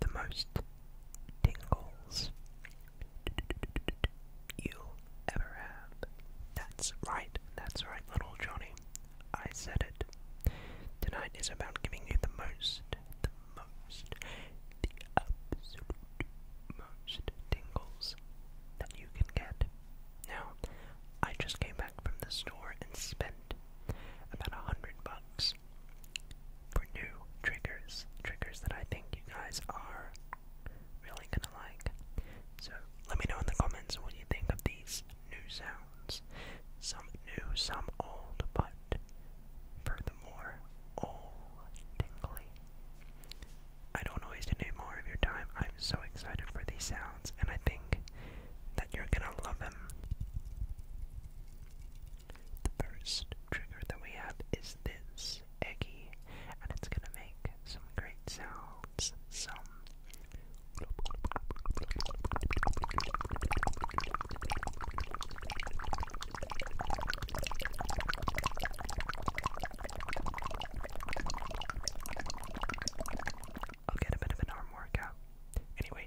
The most tingles you'll ever have. That's right, that's right, little Johnny. I said it. Tonight is about giving you the most, the most, the absolute most tingles that you can get. Now, I just came back from the store and spent about a hundred bucks for new triggers. Triggers that I think you guys are really gonna like. So let me know in the comments what you think of these new sounds. Some new, some old, but furthermore, all tingly. I don't want to waste any more of your time. I'm so excited for these sounds, and I think that you're gonna love them. The first trigger that we have is this eggy, and it's gonna make some great sounds. Some. I'll get a bit of an arm workout. Anyway.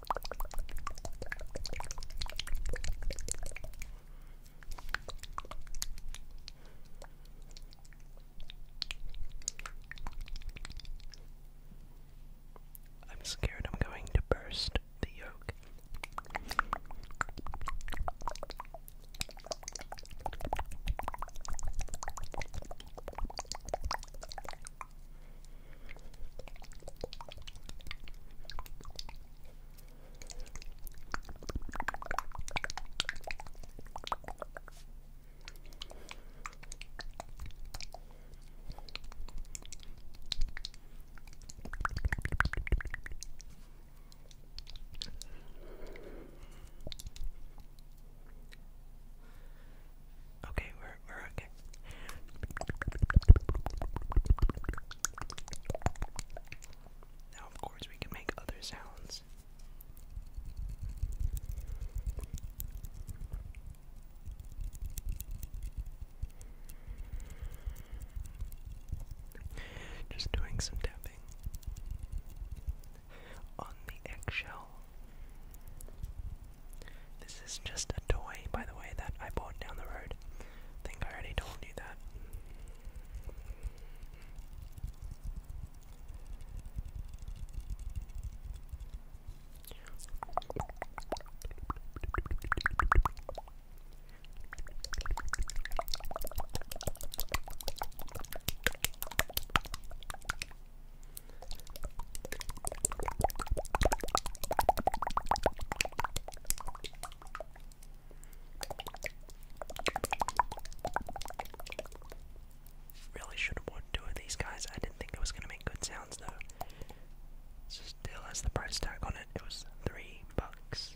I'm scared I'm going to burst the yolk. Okay, we're now, of course, we can make other sounds. Just doing some tapping on the eggshell. This is just a toy, by the way, that I bought down the road. I think I already told you that. Really should have bought two of these guys. I didn't think it was gonna make good sounds though. Still has the price tag on it. It was three bucks.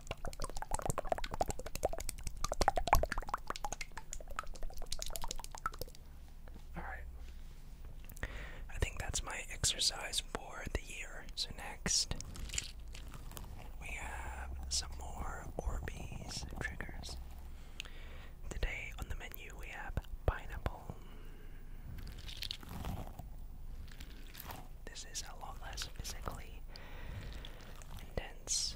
Alright. I think that's my exercise for the year. So, next, we have some more Orbeez triggers. Today on the menu, we have pineapple. This is a lot less physically intense.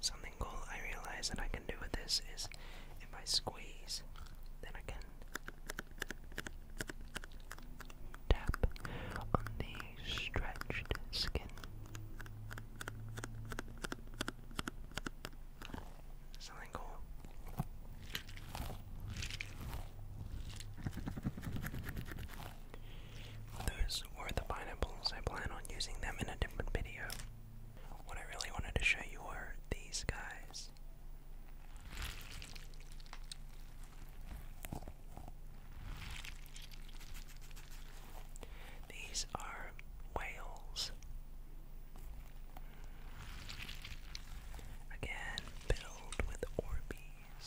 Something cool I realize that I can do with this is if I squeeze, then I can tap on the stretched skin. Something cool. Those were the pineapples. I plan on using them in a different video. What I really wanted to show you were these guys. These are whales. Again, filled with Orbeez.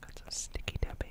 Got some sticky tapping.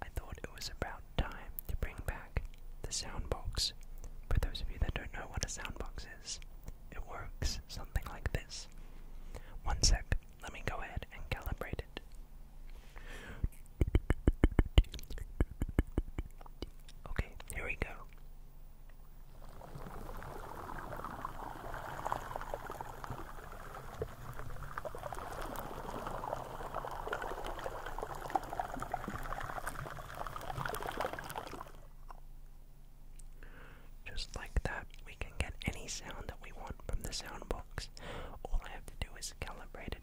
I thought it was about time to bring back the soundbox. For those of you that don't know what a soundbox is, it works something like this. One sec. Let me go ahead and calibrate it. Okay, here we go. Just like that, we can get any sound that we want from the sound box. All I have to do is calibrate it.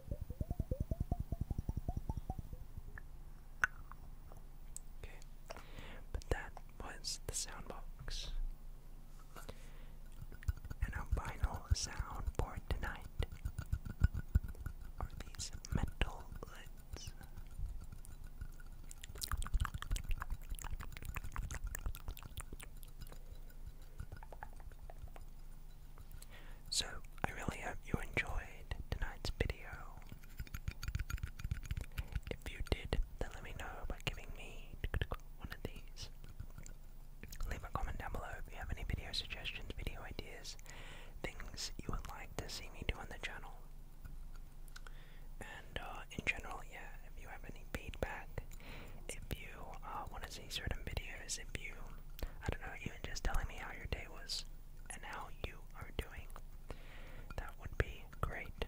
Okay, but that was the sound box. And our final sound for tonight are these metal lids. So, I really hope you enjoyed tonight's video. If you did, then let me know by giving me one of these. Leave a comment down below if you have any video suggestions, video ideas, things you would like to see me do on the channel. And uh, in general, yeah, if you have any feedback, if you uh, want to see certain videos, if you, I don't know, even just telling me how your day was and how you are doing. That would be great.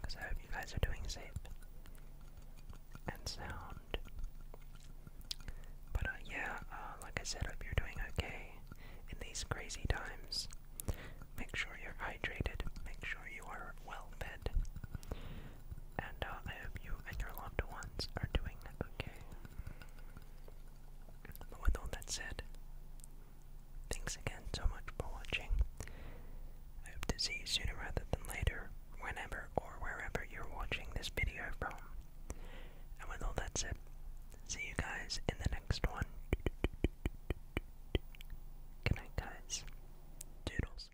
Because I hope you guys are doing safe and sound. But uh, yeah, uh, like I said, hope you're doing okay in these crazy times. Make sure you're hydrated, make sure you are well fed, and uh, I hope you and your loved ones are doing okay. with all that said, thanks again so much for watching. I hope to see you sooner rather than later, whenever or wherever you're watching this video from. And with all that said, see you guys in the next one. Good night, guys. Doodles.